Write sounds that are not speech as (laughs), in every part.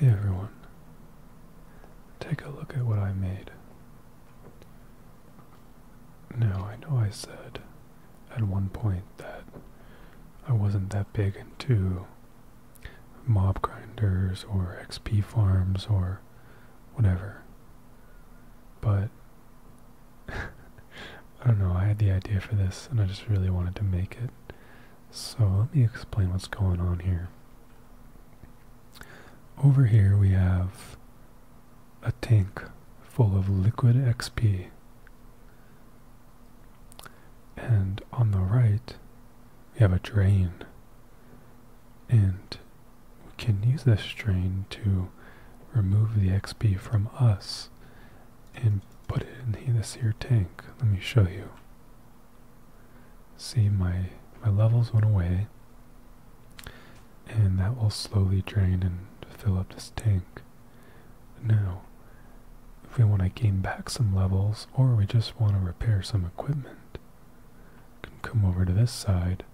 Hey everyone, take a look at what I made. Now I know I said at one point that I wasn't that big into mob grinders or XP farms or whatever. But (laughs) I don't know, I had the idea for this and I just really wanted to make it. So let me explain what's going on here. Over here we have a tank full of liquid XP. And on the right, we have a drain. And we can use this drain to remove the XP from us and put it in this here tank. Let me show you. See, my, my levels went away and that will slowly drain and fill up this tank. Now, if we want to gain back some levels or we just want to repair some equipment, can come over to this side,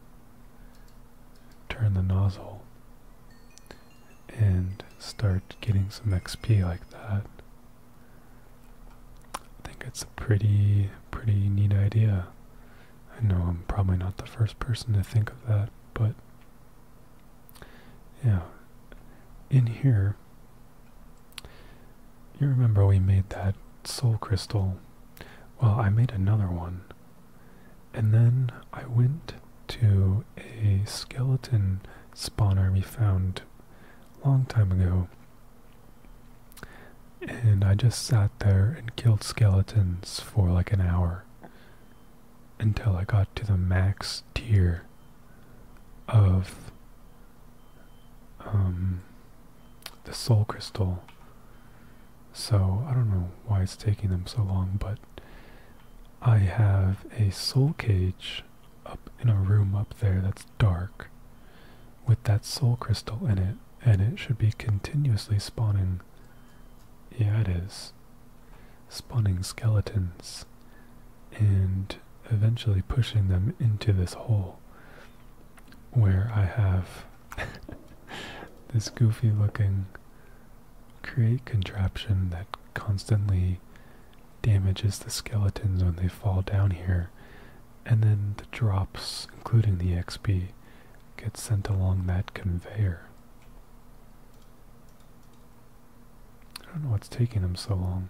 turn the nozzle, and start getting some XP like that. I think it's a pretty, pretty neat idea. I know I'm probably not the first person to think of that, but yeah, in here, you remember we made that soul crystal. Well, I made another one. And then I went to a skeleton spawner we found a long time ago. And I just sat there and killed skeletons for like an hour until I got to the max tier of um, the soul crystal. So I don't know why it's taking them so long, but I have a soul cage up in a room up there that's dark with that soul crystal in it, and it should be continuously spawning. Yeah, it is spawning skeletons, and eventually pushing them into this hole where I have (laughs) this goofy looking create contraption that constantly damages the skeletons when they fall down here and then the drops including the xp get sent along that conveyor I don't know what's taking them so long.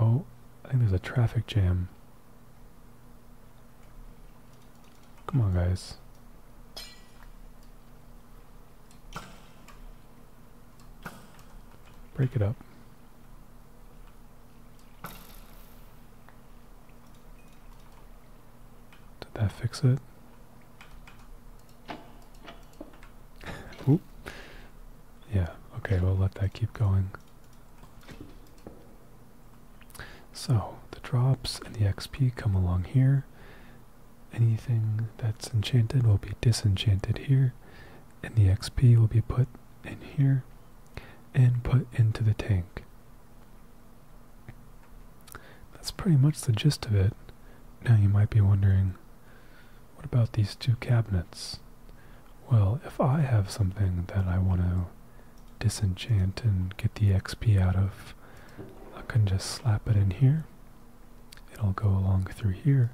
Oh, I think there's a traffic jam. Come on, guys. Break it up. Did that fix it? Oop. Yeah, okay, we'll let that keep going. So, the drops and the XP come along here. Anything that's enchanted will be disenchanted here, and the XP will be put in here and put into the tank. That's pretty much the gist of it. Now you might be wondering, what about these two cabinets? Well, if I have something that I want to disenchant and get the XP out of, I can just slap it in here. It'll go along through here,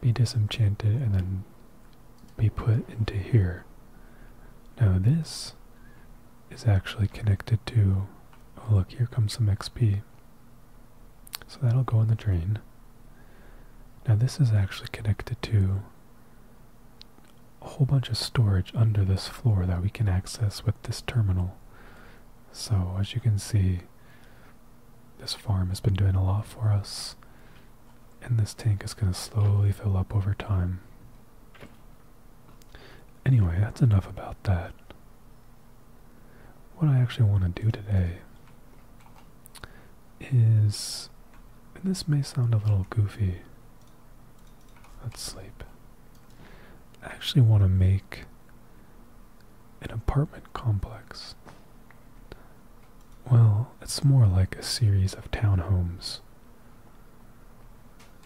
be disenchanted, and then be put into here. Now this is actually connected to, oh look, here comes some XP. So that'll go in the drain. Now this is actually connected to a whole bunch of storage under this floor that we can access with this terminal. So as you can see, this farm has been doing a lot for us, and this tank is going to slowly fill up over time. Anyway, that's enough about that. What I actually want to do today is. And this may sound a little goofy. Let's sleep. I actually want to make an apartment complex. Well, it's more like a series of townhomes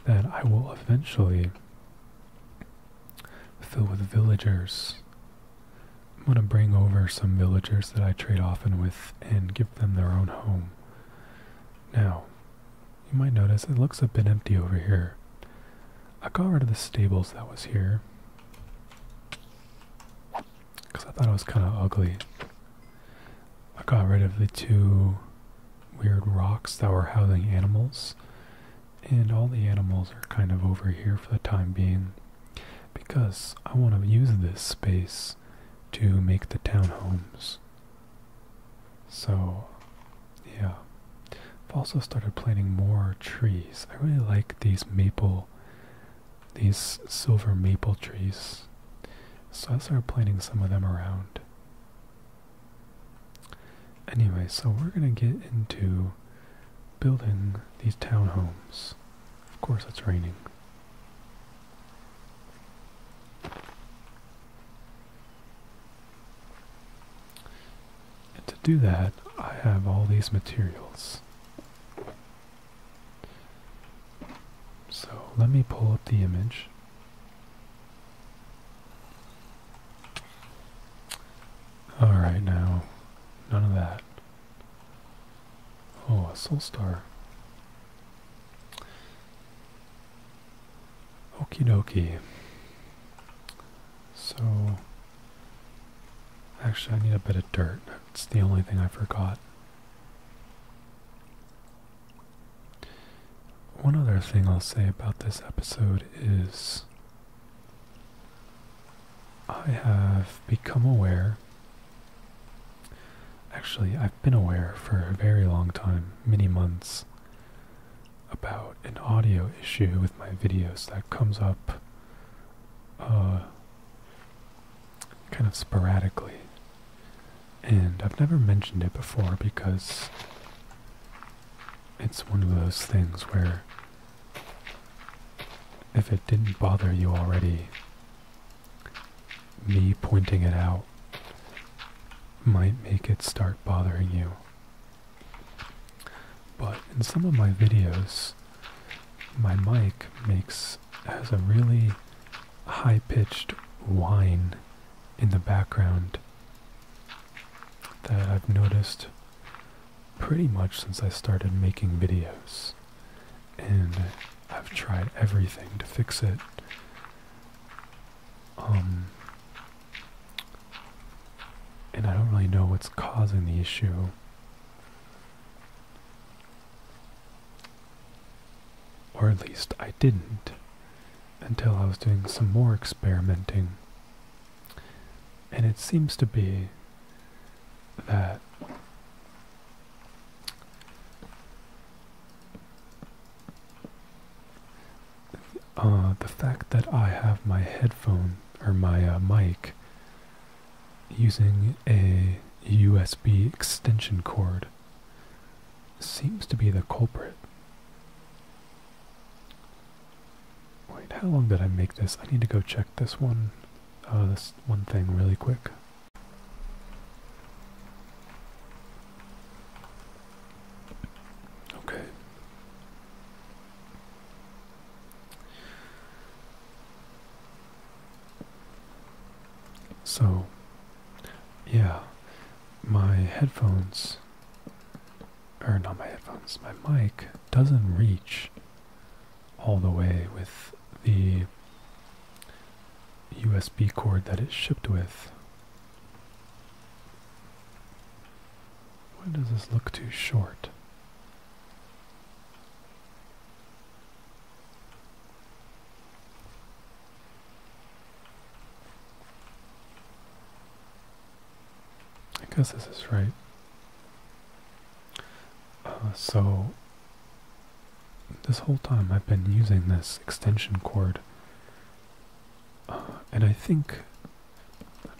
that I will eventually fill with villagers. I'm going to bring over some villagers that I trade often with and give them their own home. Now, you might notice it looks a bit empty over here. I got rid of the stables that was here because I thought it was kind of ugly. I got rid of the two weird rocks that were housing animals. And all the animals are kind of over here for the time being. Because I want to use this space to make the townhomes. So, yeah. I've also started planting more trees. I really like these maple, these silver maple trees. So I started planting some of them around. Anyway, so we're going to get into building these townhomes. Of course it's raining. to do that, I have all these materials. So let me pull up the image all right now, none of that. Oh, a soul star. Okie dokie. So, actually I need a bit of dirt. It's the only thing I forgot. One other thing I'll say about this episode is I have become aware. Actually, I've been aware for a very long time, many months, about an audio issue with my videos that comes up uh, kind of sporadically. And I've never mentioned it before because it's one of those things where if it didn't bother you already, me pointing it out might make it start bothering you. But in some of my videos, my mic makes has a really high-pitched whine in the background that I've noticed pretty much since I started making videos. And I've tried everything to fix it. Um, and I don't really know what's causing the issue. Or at least I didn't until I was doing some more experimenting. And it seems to be that uh, the fact that I have my headphone or my uh, mic using a USB extension cord seems to be the culprit. Wait, how long did I make this? I need to go check this one, uh, this one thing really quick. Okay. So, yeah, my headphones, or not my headphones, my mic doesn't reach all the way with the USB cord that it's shipped with. Why does this look too short? I guess this is right. Uh, so, this whole time I've been using this extension cord, uh, and I think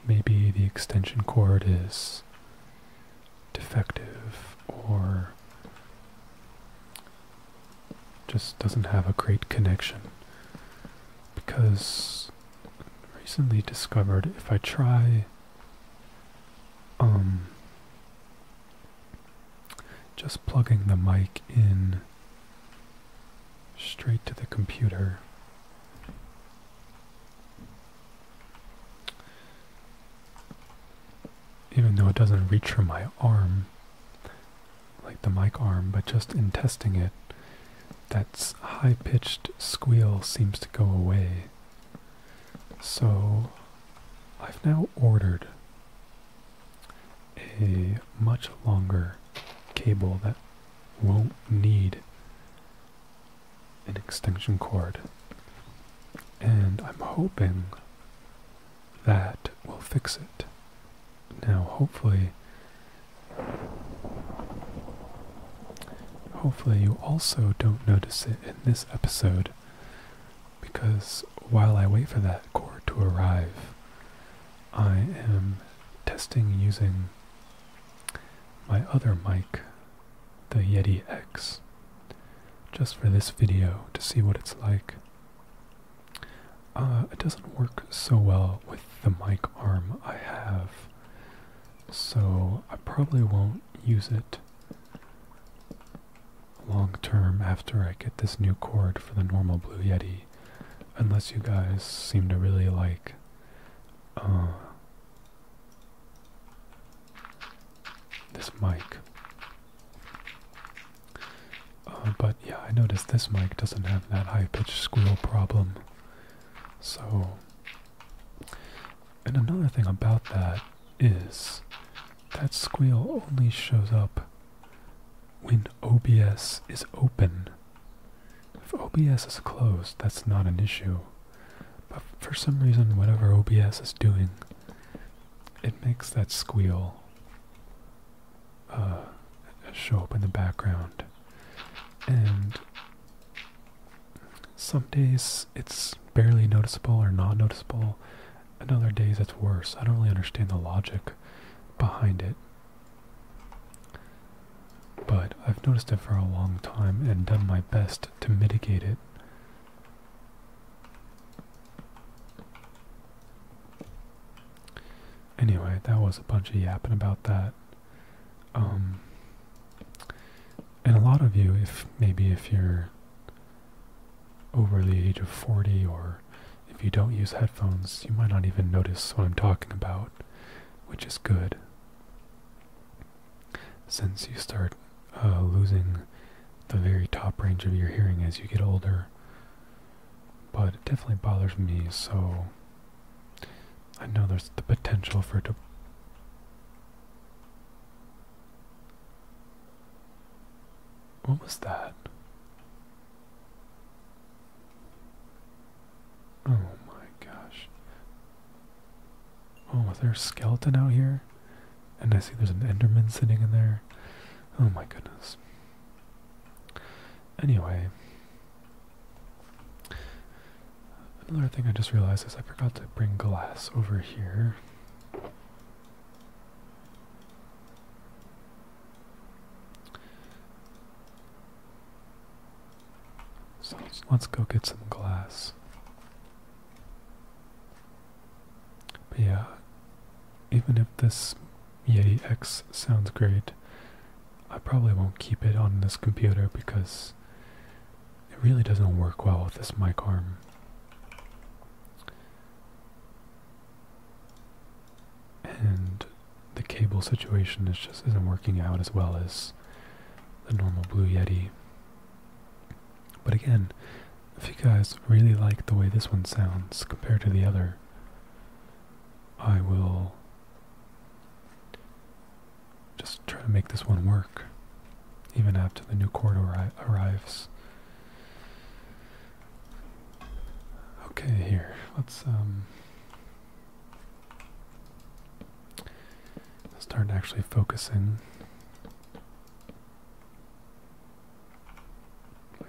maybe the extension cord is defective or just doesn't have a great connection because recently discovered if I try um just plugging the mic in straight to the computer even though it doesn't reach from my arm like the mic arm, but just in testing it, that high-pitched squeal seems to go away. So I've now ordered a much longer cable that won't need an extension cord. And I'm hoping that will fix it. Now, hopefully, hopefully you also don't notice it in this episode, because while I wait for that cord to arrive, I am testing using my other mic, the Yeti X, just for this video to see what it's like. Uh, it doesn't work so well with the mic arm I have, so I probably won't use it long term after I get this new cord for the normal Blue Yeti, unless you guys seem to really like. Uh, this mic. Uh, but yeah, I noticed this mic doesn't have that high-pitched squeal problem. So, and another thing about that is that squeal only shows up when OBS is open. If OBS is closed, that's not an issue. But for some reason, whatever OBS is doing, it makes that squeal. Uh, show up in the background. And some days it's barely noticeable or not noticeable, and other days it's worse. I don't really understand the logic behind it. But I've noticed it for a long time and done my best to mitigate it. Anyway, that was a bunch of yapping about that. Um, and a lot of you, if maybe if you're over the age of 40 or if you don't use headphones, you might not even notice what I'm talking about, which is good. Since you start uh, losing the very top range of your hearing as you get older, but it definitely bothers me, so I know there's the potential for it to. What was that? Oh my gosh. Oh, is there a skeleton out here? And I see there's an Enderman sitting in there. Oh my goodness. Anyway, another thing I just realized is I forgot to bring glass over here. So let's, go get some glass. But yeah, even if this Yeti X sounds great. I probably won't keep it on this computer because it really doesn't work well with this mic arm. And the cable situation is just isn't working out as well as the normal Blue Yeti. But again, if you guys really like the way this one sounds compared to the other, I will just try to make this one work, even after the new chord arrives. Okay, here, let's um, start actually focusing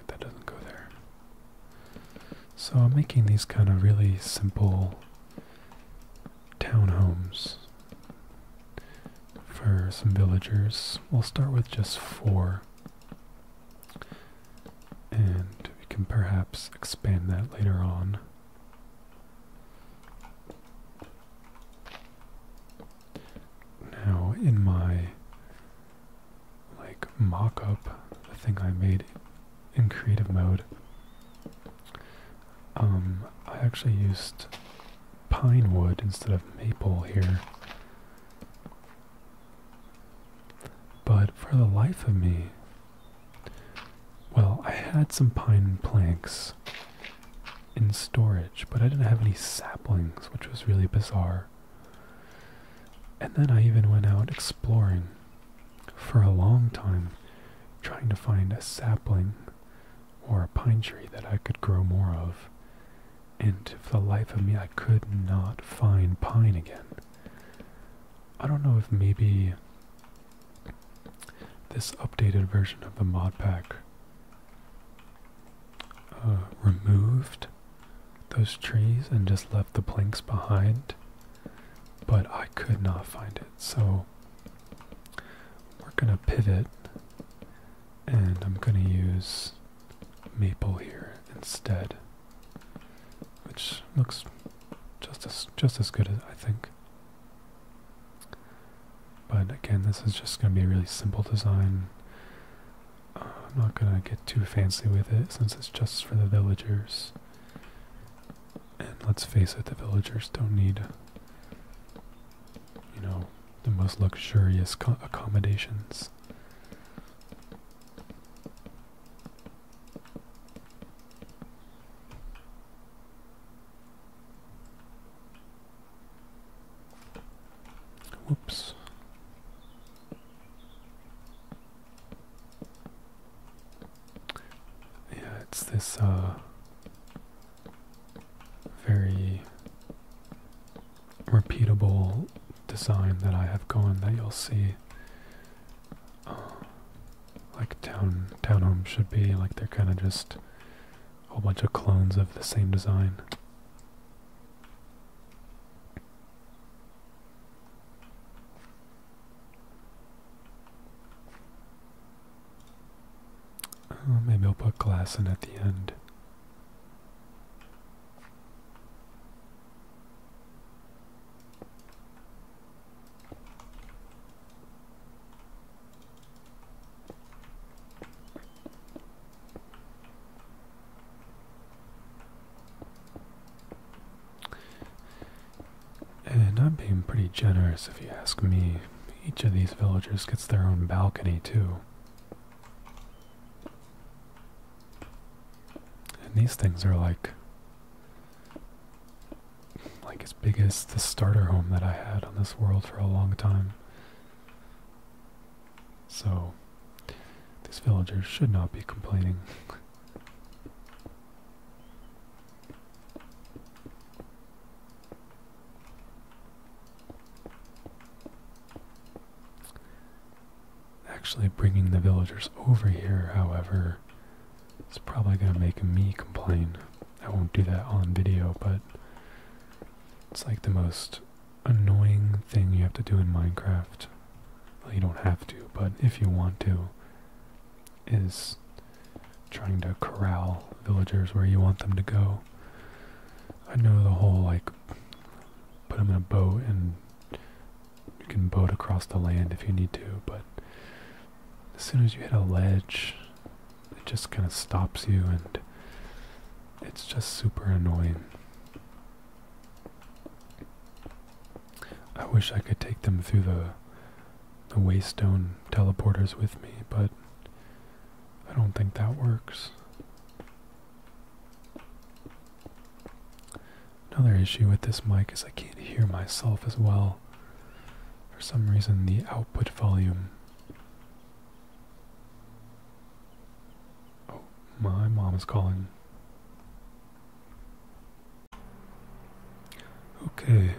that doesn't go there. So I'm making these kind of really simple townhomes for some villagers. We'll start with just four. And we can perhaps expand that later on. Now, in my like mock up the thing I made in creative mode. Um, I actually used pine wood instead of maple here. But for the life of me, well, I had some pine planks in storage, but I didn't have any saplings, which was really bizarre. And then I even went out exploring for a long time, trying to find a sapling or a pine tree that I could grow more of. And for the life of me, I could not find pine again. I don't know if maybe this updated version of the mod pack uh, removed those trees and just left the planks behind, but I could not find it. So we're going to pivot and I'm going to use maple here instead, which looks just as, just as good as I think. But again, this is just going to be a really simple design. I'm not gonna get too fancy with it since it's just for the villagers. And let's face it, the villagers don't need, you know, the most luxurious accommodations. Whoops. Yeah, it's this uh, very repeatable design that I have going that you'll see. Uh, like town townhomes should be like they're kind of just a whole bunch of clones of the same design. Oh, maybe I'll put glass in at the end. And I'm being pretty generous if you ask me. Each of these villagers gets their own balcony too. And these things are like like as big as the starter home that I had on this world for a long time. So, these villagers should not be complaining. Actually, bringing the villagers over here, however, is probably going to make me complain. I won't do that on video, but it's like the most annoying thing you have to do in Minecraft. Well, you don't have to, but if you want to, is trying to corral villagers where you want them to go. I know the whole, like, put them in a boat and you can boat across the land if you need to, but as soon as you hit a ledge, it just kind of stops you and it's just super annoying. I wish I could take them through the the waystone teleporters with me, but I don't think that works. Another issue with this mic is I can't hear myself as well. For some reason the output volume Oh, my mom is calling. Okay.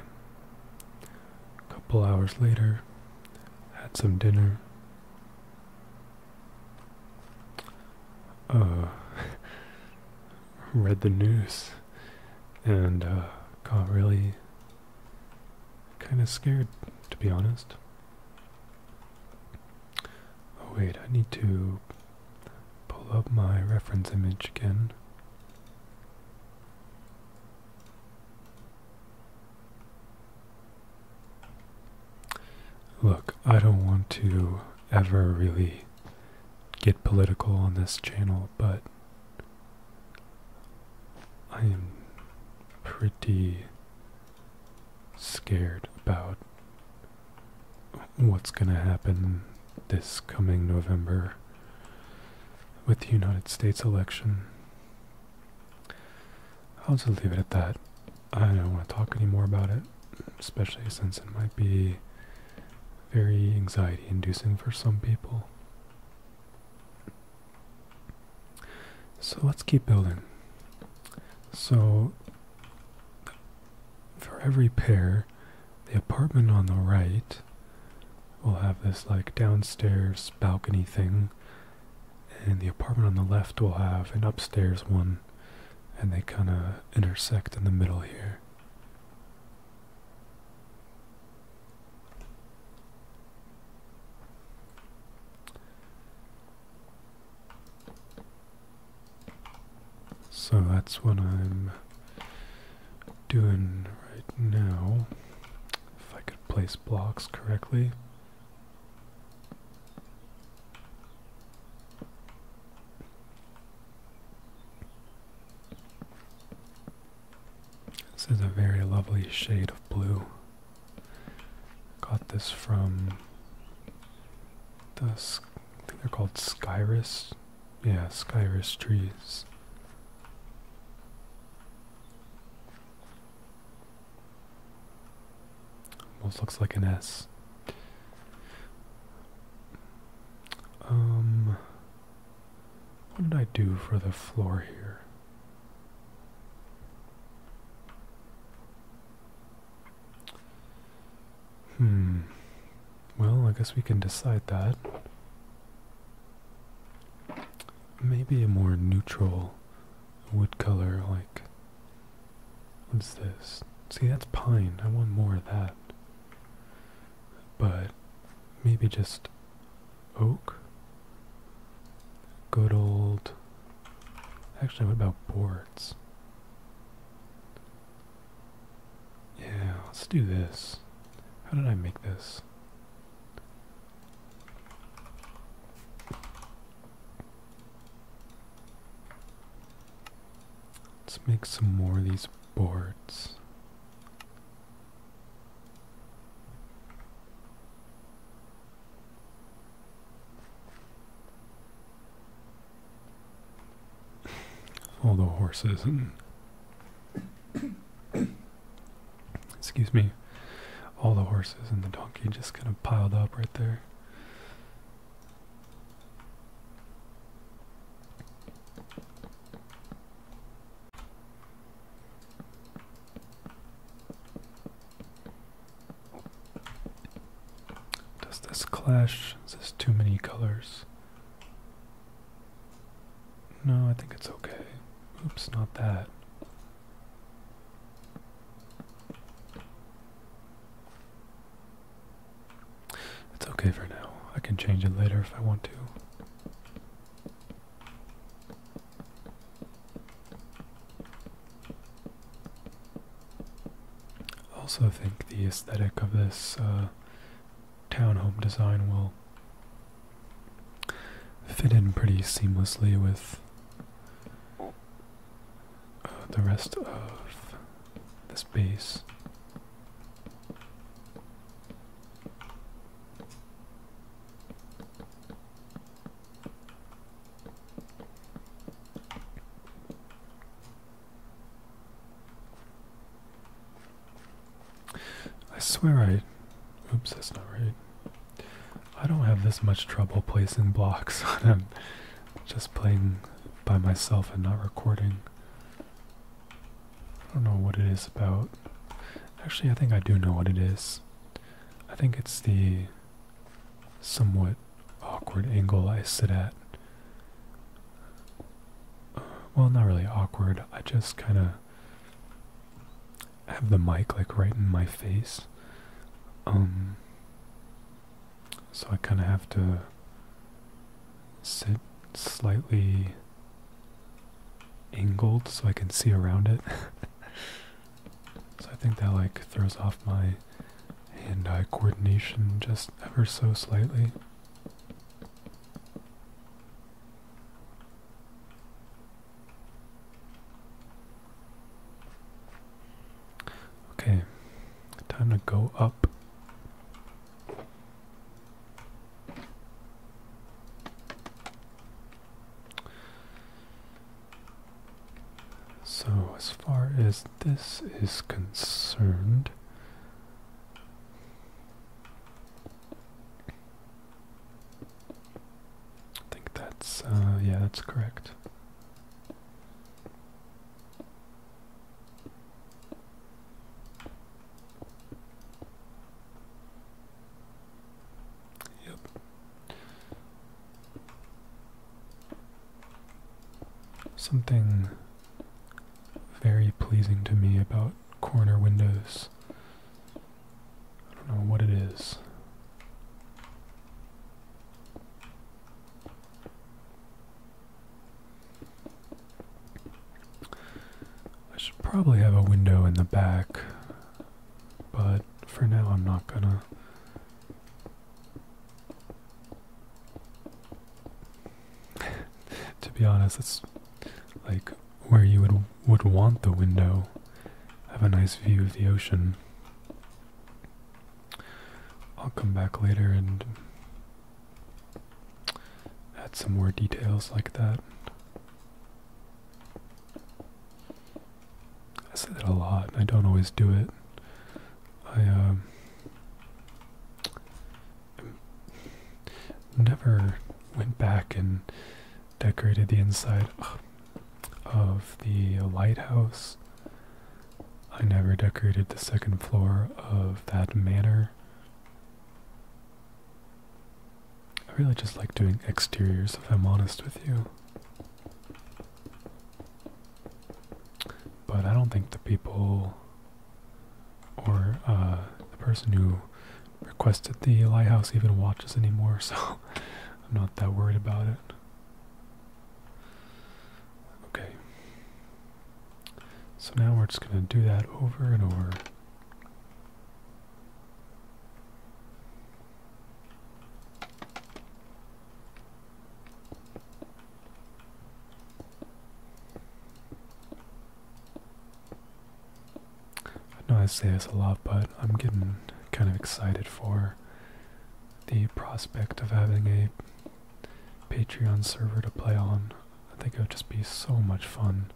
A couple hours later, had some dinner. Uh, (laughs) read the news and uh, got really kind of scared, to be honest. Oh wait, I need to pull up my reference image again. Look, I don't want to ever really get political on this channel, but I am pretty scared about what's going to happen this coming November with the United States election. I'll just leave it at that. I don't want to talk anymore about it, especially since it might be very anxiety inducing for some people. So let's keep building. So for every pair, the apartment on the right will have this like downstairs balcony thing, and the apartment on the left will have an upstairs one, and they kind of intersect in the middle here. So that's what I'm doing right now. If I could place blocks correctly. This is a very lovely shade of blue. Got this from the I think they're called Skyris. Yeah, Skyris trees. Almost looks like an S. Um, what did I do for the floor here? Hmm. Well, I guess we can decide that. Maybe a more neutral wood color, like... What's this? See, that's pine. I want more of that. But maybe just oak? Good old. Actually, what about boards? Yeah, let's do this. How did I make this? Let's make some more of these boards all the horses and excuse me all the horses and the donkey just kind of piled up right there does this clash? Is this too many colors? No, I think it's okay. Oops, not that. It's okay for now. I can change it later if I want to. I also think the aesthetic of this uh, townhome design will fit in pretty seamlessly with uh, the rest of the space. I swear I. Oops, that's not right. I don't have this much trouble placing blocks when (laughs) I'm just playing by myself and not recording. I don't know what it is about. Actually, I think I do know what it is. I think it's the somewhat awkward angle I sit at. Well, not really awkward. I just kind of have the mic like right in my face. Um, so I kind of have to sit slightly angled so I can see around it. (laughs) So I think that like throws off my hand-eye coordination just ever so slightly. Okay, time to go up. So as far as this is concerned, I think that's, uh, yeah, that's correct. Yep. Something very pleasing to me about corner windows. I don't know what it is. I should probably have a window in the back but for now, I'm not gonna. (laughs) to be honest, it's like where you would would want the window. Have a nice view of the ocean. I'll come back later and add some more details like that. I say that a lot, I don't always do it. I um, never went back and decorated the inside of the lighthouse. I never decorated the second floor of that manor. I really just like doing exteriors, if I'm honest with you. But I don't think the people or uh, the person who requested the lighthouse even watches anymore, (laughs) so I'm not that worried about it. Okay. So now we're just going to do that over and over. I know I say this a lot, but I'm getting kind of excited for the prospect of having a Patreon server to play on. I think it would just be so much fun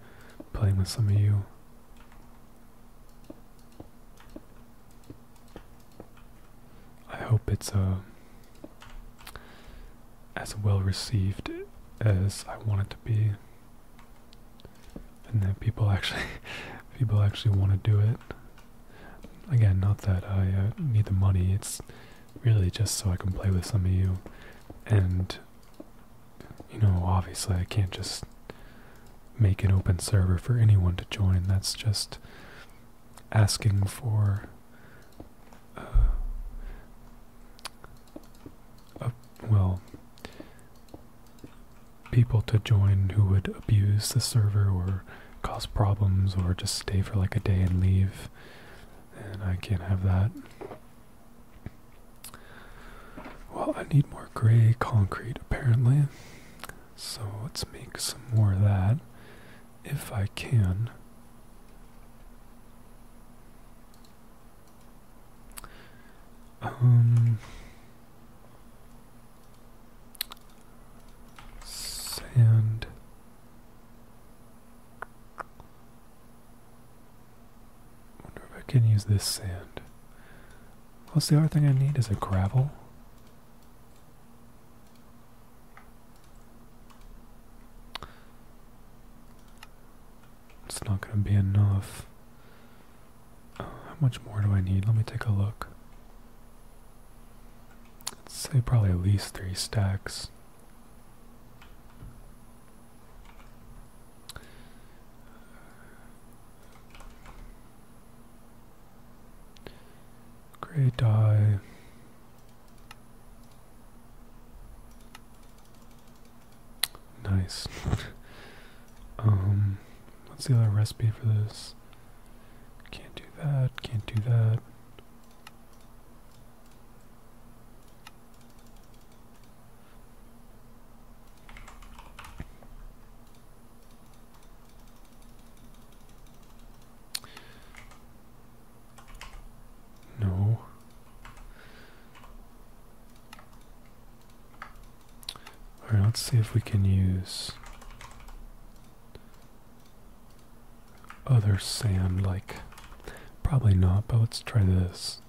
playing with some of you. I hope it's uh, as well received as I want it to be, and that people actually (laughs) people actually want to do it. Again, not that I uh, need the money. It's really just so I can play with some of you, and you know, obviously I can't just make an open server for anyone to join. That's just asking for uh, well people to join who would abuse the server or cause problems or just stay for like a day and leave and I can't have that. Well, I need more gray concrete apparently. So let's make some more of that if I can. Um sand wonder if I can use this sand. What's the other thing I need? Is it gravel? It's not going to be enough. how much more do I need? Let me take a look. Let's say probably at least three stacks. Grey dye. Nice. (laughs) um, what's the other recipe for this? Can't do that, can't do that. No. Alright, let's see if we can use other sand like probably not, but let's try this.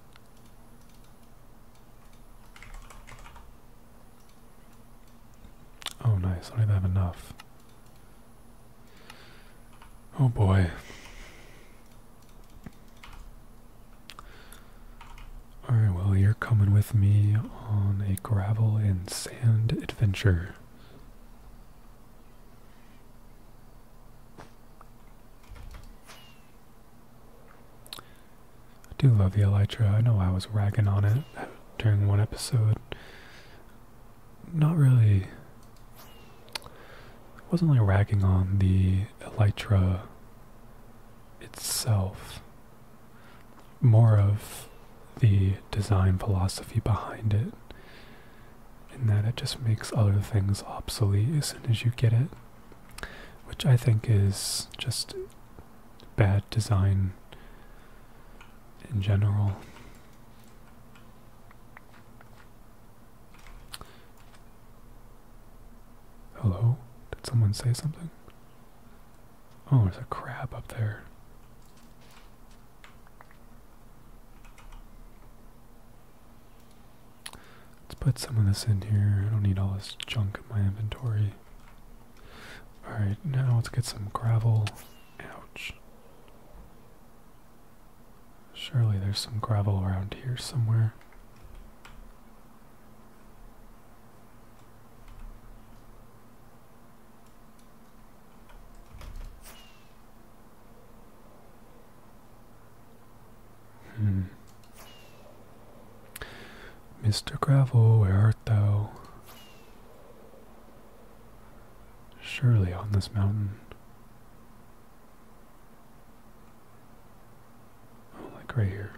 Oh, nice. I don't even have enough. Oh boy. Alright, well, you're coming with me on a gravel and sand adventure. I do love the Elytra. I know I was ragging on it during one episode. Not really. I wasn't really ragging on the Elytra itself. More of the design philosophy behind it. In that it just makes other things obsolete as soon as you get it which I think is just bad design in general. Hello? Did someone say something? Oh, there's a crab up there. Let's put some of this in here. I don't need all this junk in my inventory. Alright, now let's get some gravel. Ouch. Surely there's some gravel around here somewhere. Hmm. Mr. Gravel, where art thou? Surely on this mountain. Oh, like right here.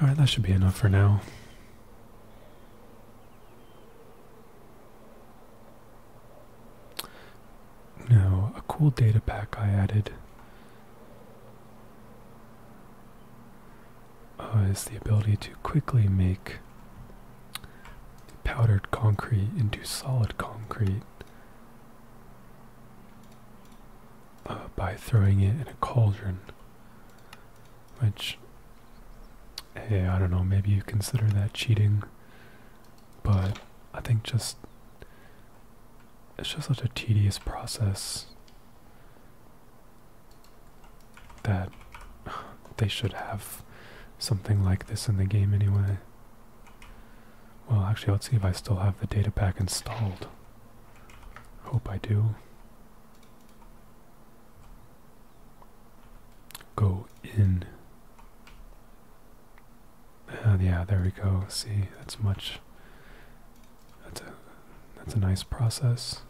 Alright, that should be enough for now. Now, a cool data pack I added uh, is the ability to quickly make powdered concrete into solid concrete uh, by throwing it in a cauldron, which hey, I don't know, maybe you consider that cheating, but I think just it's just such a tedious process that they should have something like this in the game anyway. Well, actually, let's see if I still have the data pack installed. Hope I do go in. Ah, yeah, there we go. See, that's much. That's a that's a nice process.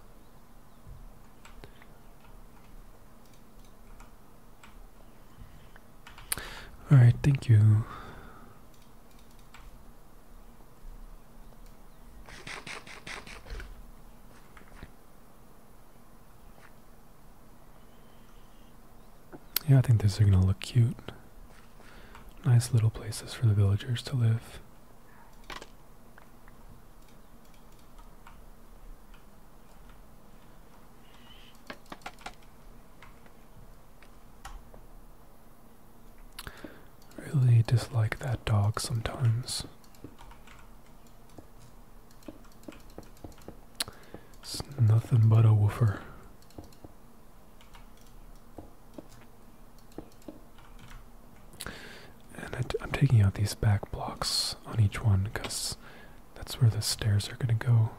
All right, thank you. Yeah, I think these are going to look cute. Nice little places for the villagers to live. Really dislike that dog sometimes. It's nothing but a woofer. And I, I'm taking out these back blocks on each one because that's where the stairs are going to go.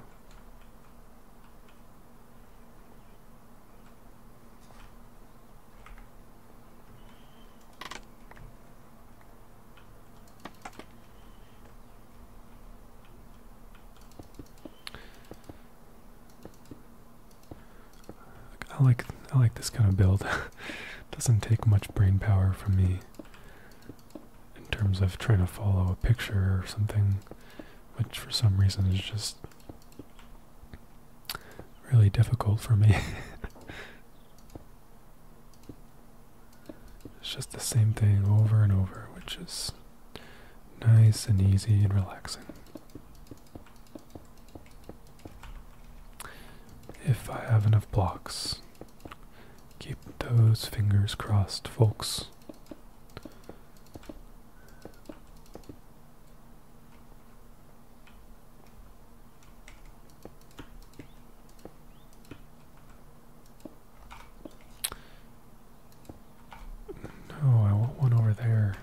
I like I like this kind of build. (laughs) Doesn't take much brain power from me in terms of trying to follow a picture or something, which for some reason is just really difficult for me. (laughs) It's just the same thing over and over, which is nice and easy and relaxing. If I have enough blocks, keep those fingers crossed, folks. No, oh, I want one over there.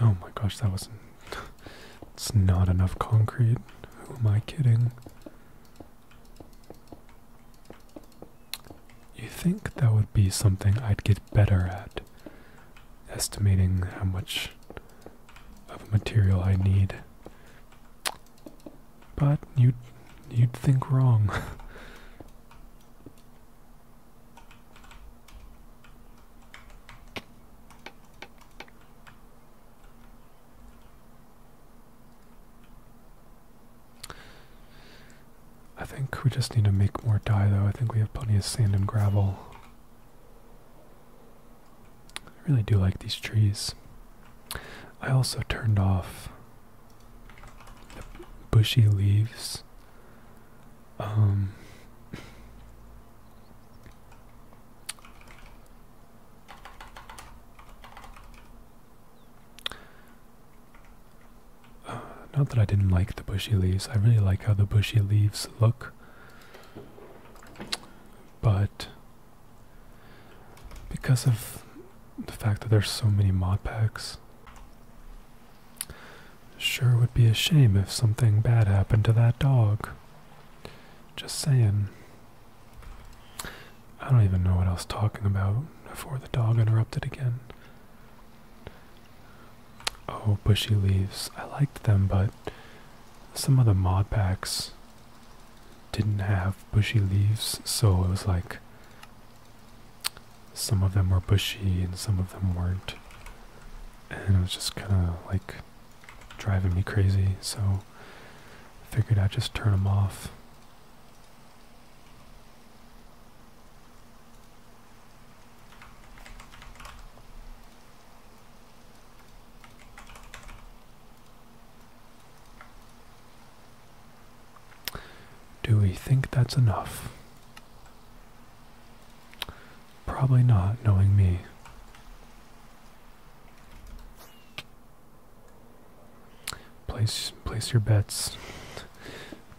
Oh my gosh, that wasn't. it's not enough concrete. Who am I kidding? You think that would be something I'd get better at? Estimating how much of material I need. But you'd, you'd think wrong. (laughs) I think we just need to make more dye though. I think we have plenty of sand and gravel. I really do like these trees. I also turned off the bushy leaves. Um, not that I didn't like the bushy leaves, I really like how the bushy leaves look. But because of the fact that there's so many mod packs, sure would be a shame if something bad happened to that dog. Just saying. I don't even know what I was talking about before the dog interrupted again. Oh, bushy leaves. I liked them, but some of the mod packs didn't have bushy leaves, so it was like some of them were bushy and some of them weren't. And it was just kind of like driving me crazy, so I figured I'd just turn them off. Do we think that's enough? Probably not, knowing me. Place place your bets.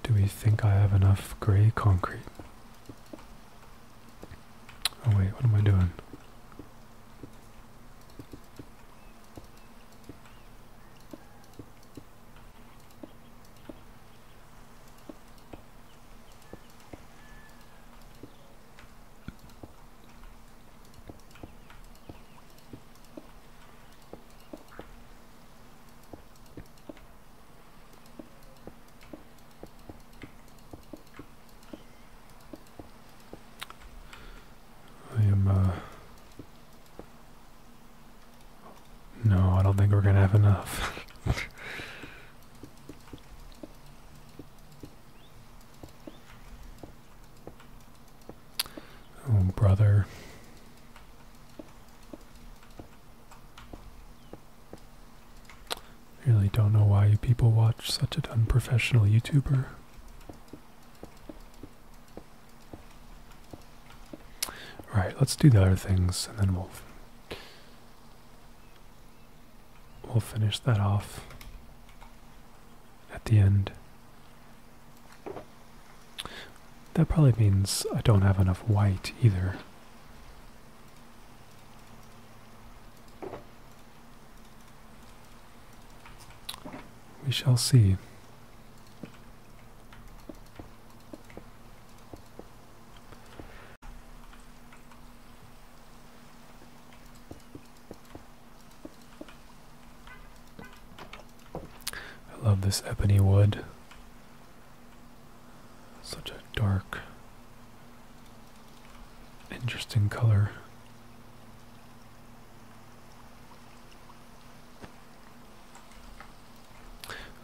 Do we think I have enough gray concrete? Oh wait, what am I doing? I am, uh, No, I don't think we're gonna have enough. (laughs) oh, brother. I really don't know why you people watch such an unprofessional YouTuber. Alright, let's do the other things and then we'll we'll finish that off at the end. That probably means I don't have enough white either. We shall see. I love this ebony wood. Such a dark, interesting color.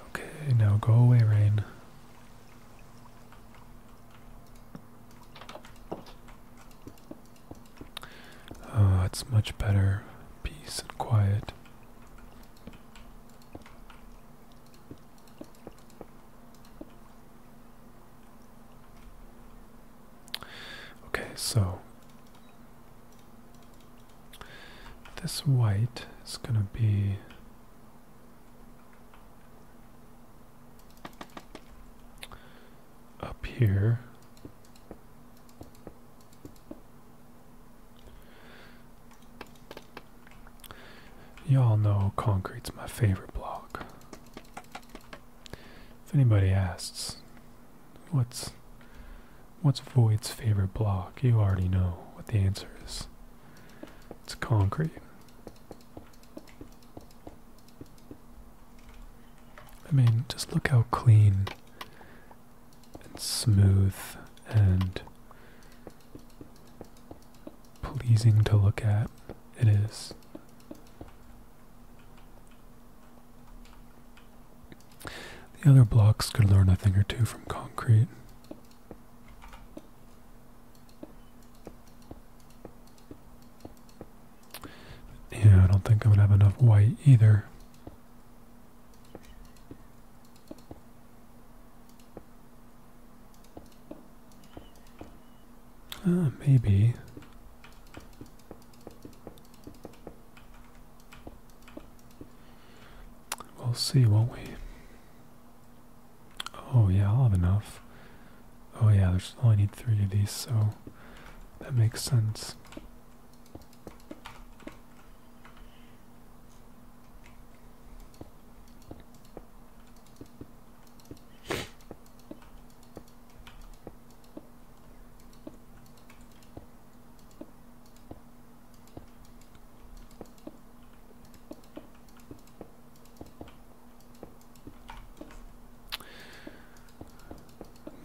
Okay, now go away, rain. Oh, it's much better. Peace and quiet. Okay, so this white is going to be up here Y'all know concrete's my favorite block. If anybody asks, what's what's Void's favorite block, you already know what the answer is. It's concrete. I mean, just look how clean and smooth and pleasing to look at it is. The other blocks could learn a thing or two from concrete. Yeah, I don't think I'm going have enough white either. Uh, maybe. We'll see, won't we? Oh yeah, I'll have enough. Oh yeah, there's only oh, need three of these, so that makes sense.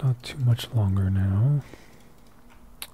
Not too much longer now.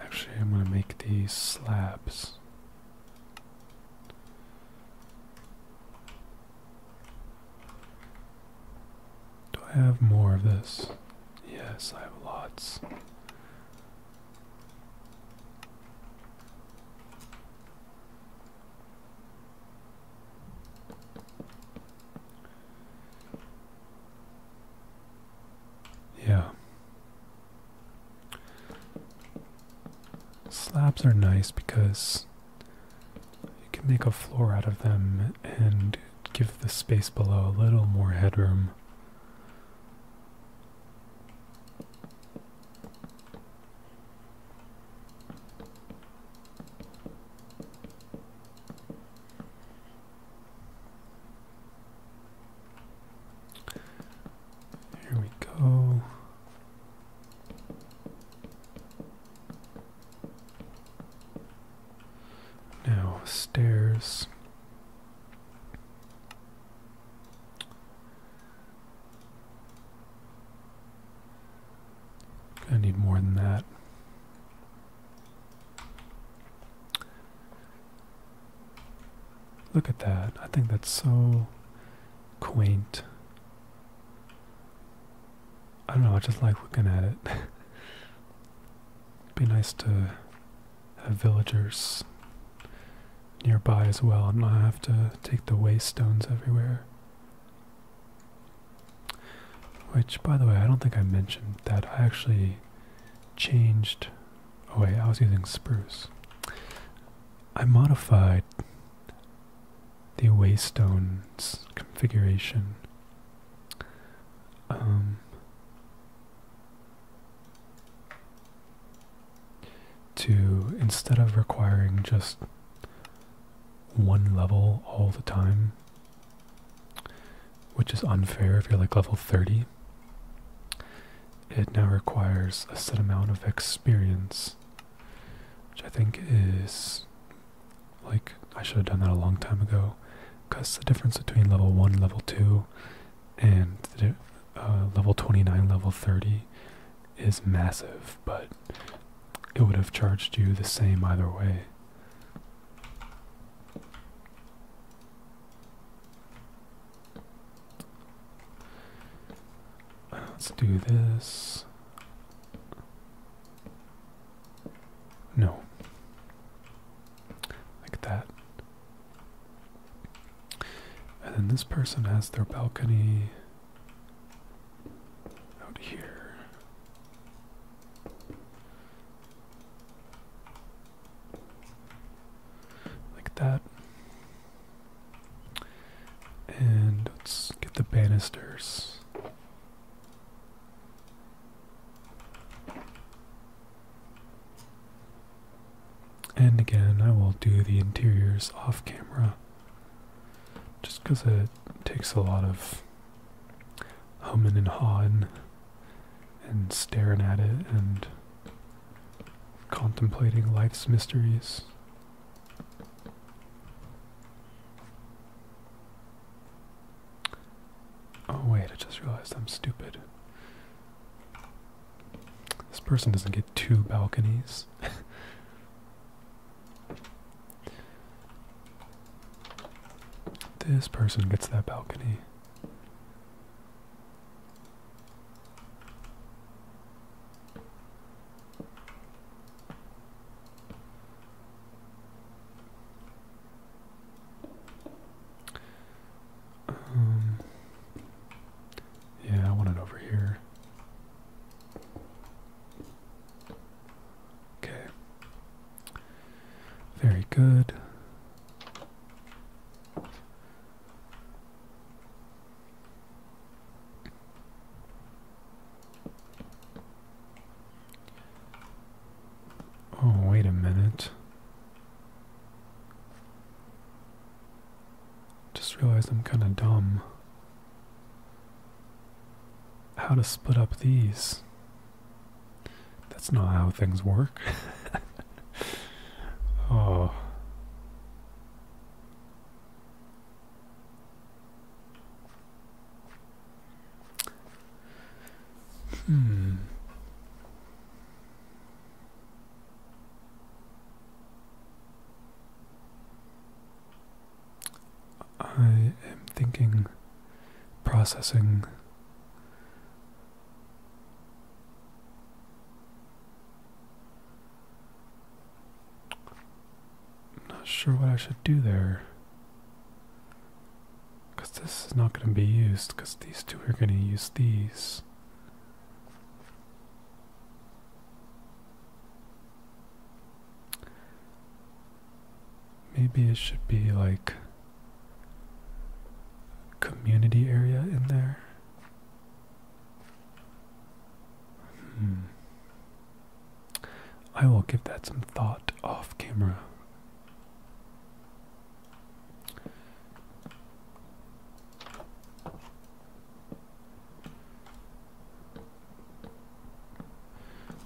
Actually, I'm gonna make these slabs. Do I have more of this? Yes, I have lots. Yeah. Slabs are nice because you can make a floor out of them and give the space below a little more headroom. Here we go. Now, stairs. I need more than that. Look at that. I think that's so quaint. I don't know, I just like looking at it. (laughs) be nice to have villagers nearby as well and not have to take the waste stones everywhere. Which, by the way, I don't think I mentioned that I actually changed. Oh, wait, I was using spruce. I modified the waystone's configuration. Um, to instead of requiring just one level all the time, which is unfair if you're like level 30. It now requires a set amount of experience, which I think is like I should have done that a long time ago because the difference between level 1 and level 2 and uh, level 29, level 30 is massive, but it would have charged you the same either way. Let's do this. No. Like that. And then this person has their balcony out here. Like that. And let's get the banisters. And again, I will do the interiors off camera just because it takes a lot of humming and hawing and staring at it and contemplating life's mysteries. Oh, wait, I just realized I'm stupid. This person doesn't get two balconies. (laughs) this person gets that balcony. Um, yeah, I want it over here. Okay. Very good. Oh, wait a minute. Just realized I'm kind of dumb. How to split up these? That's not how things work. (laughs) oh. Hmm. I am thinking processing I'm not sure what I should do there. Because this is not going to be used, because these two are going to use these. Maybe it should be like community area in there. Hmm. I will give that some thought off camera.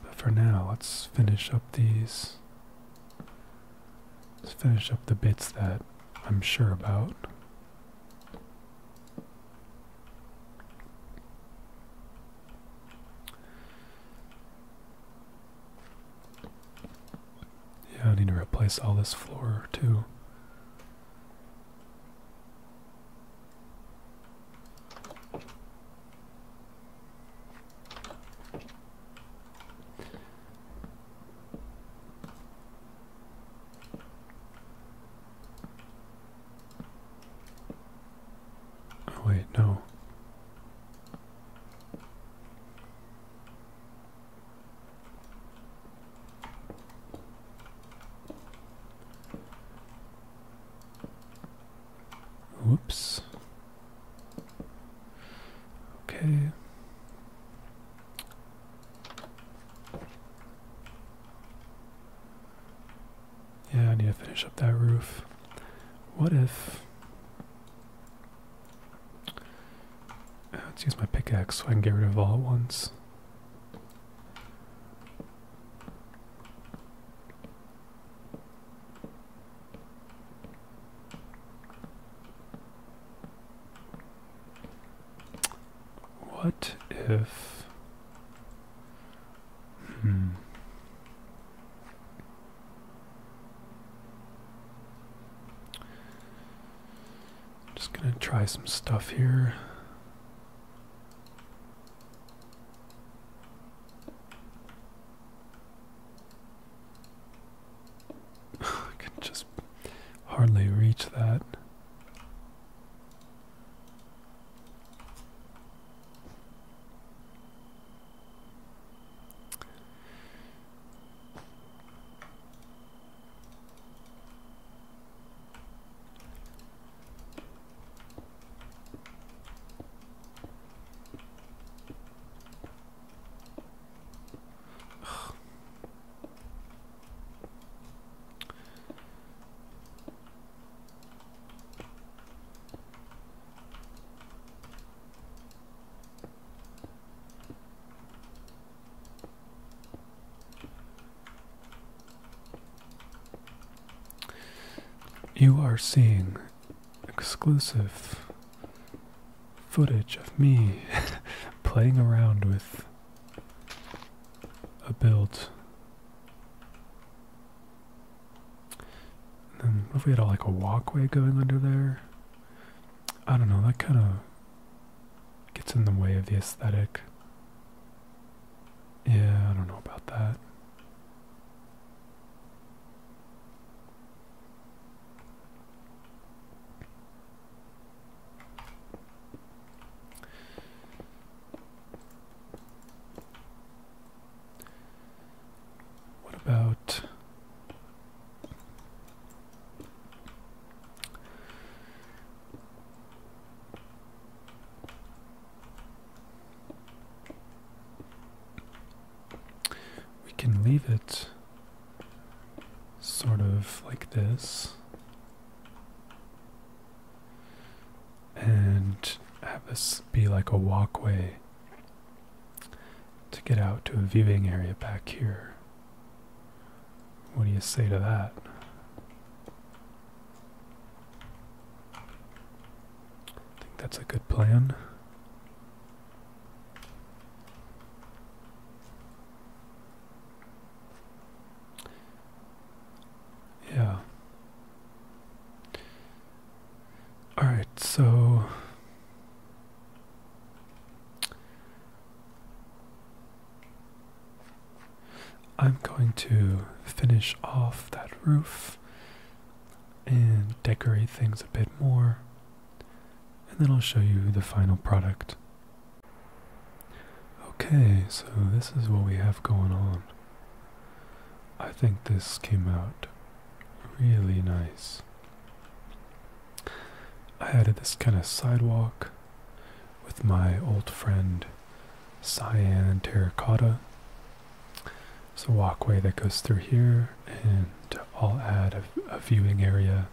But for now, let's finish up these Let's finish up the bits that I'm sure about. Yeah, I need to replace all this floor too. Oh, wait, no. Whoops. Okay. Yeah, I need to finish up that roof. What if. Uh, let's use my pickaxe so I can get rid of all at once. What if... Hmm. Just gonna try some stuff here. (sighs) I can just hardly reach that. You are seeing exclusive footage of me (laughs) playing around with a build. then what if we had a, like a walkway going under there? I don't know, that kind of gets in the way of the aesthetic. Yeah, I don't know about that. What about we can leave it sort of like this and have this be like a walkway to get out to a viewing area back here. What do you say to that? I think that's a good plan. Yeah. All right, so I'm going to finish off that roof and decorate things a bit more. And then I'll show you the final product. Okay, so this is what we have going on. I think this came out really nice. I added this kind of sidewalk with my old friend Cyan Terracotta there's a walkway that goes through here, and I'll add a, a viewing area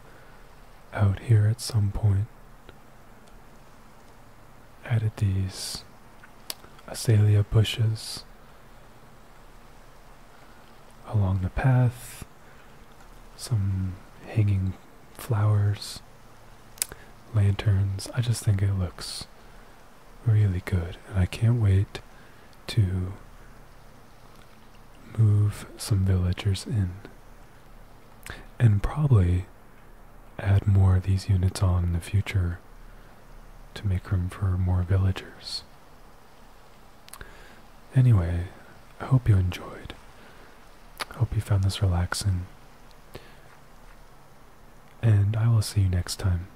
out here at some point. Added these azalea bushes along the path, some hanging flowers, lanterns. I just think it looks really good. And I can't wait to move some villagers in. And probably add more of these units on in the future to make room for more villagers. Anyway, I hope you enjoyed. hope you found this relaxing. And I will see you next time.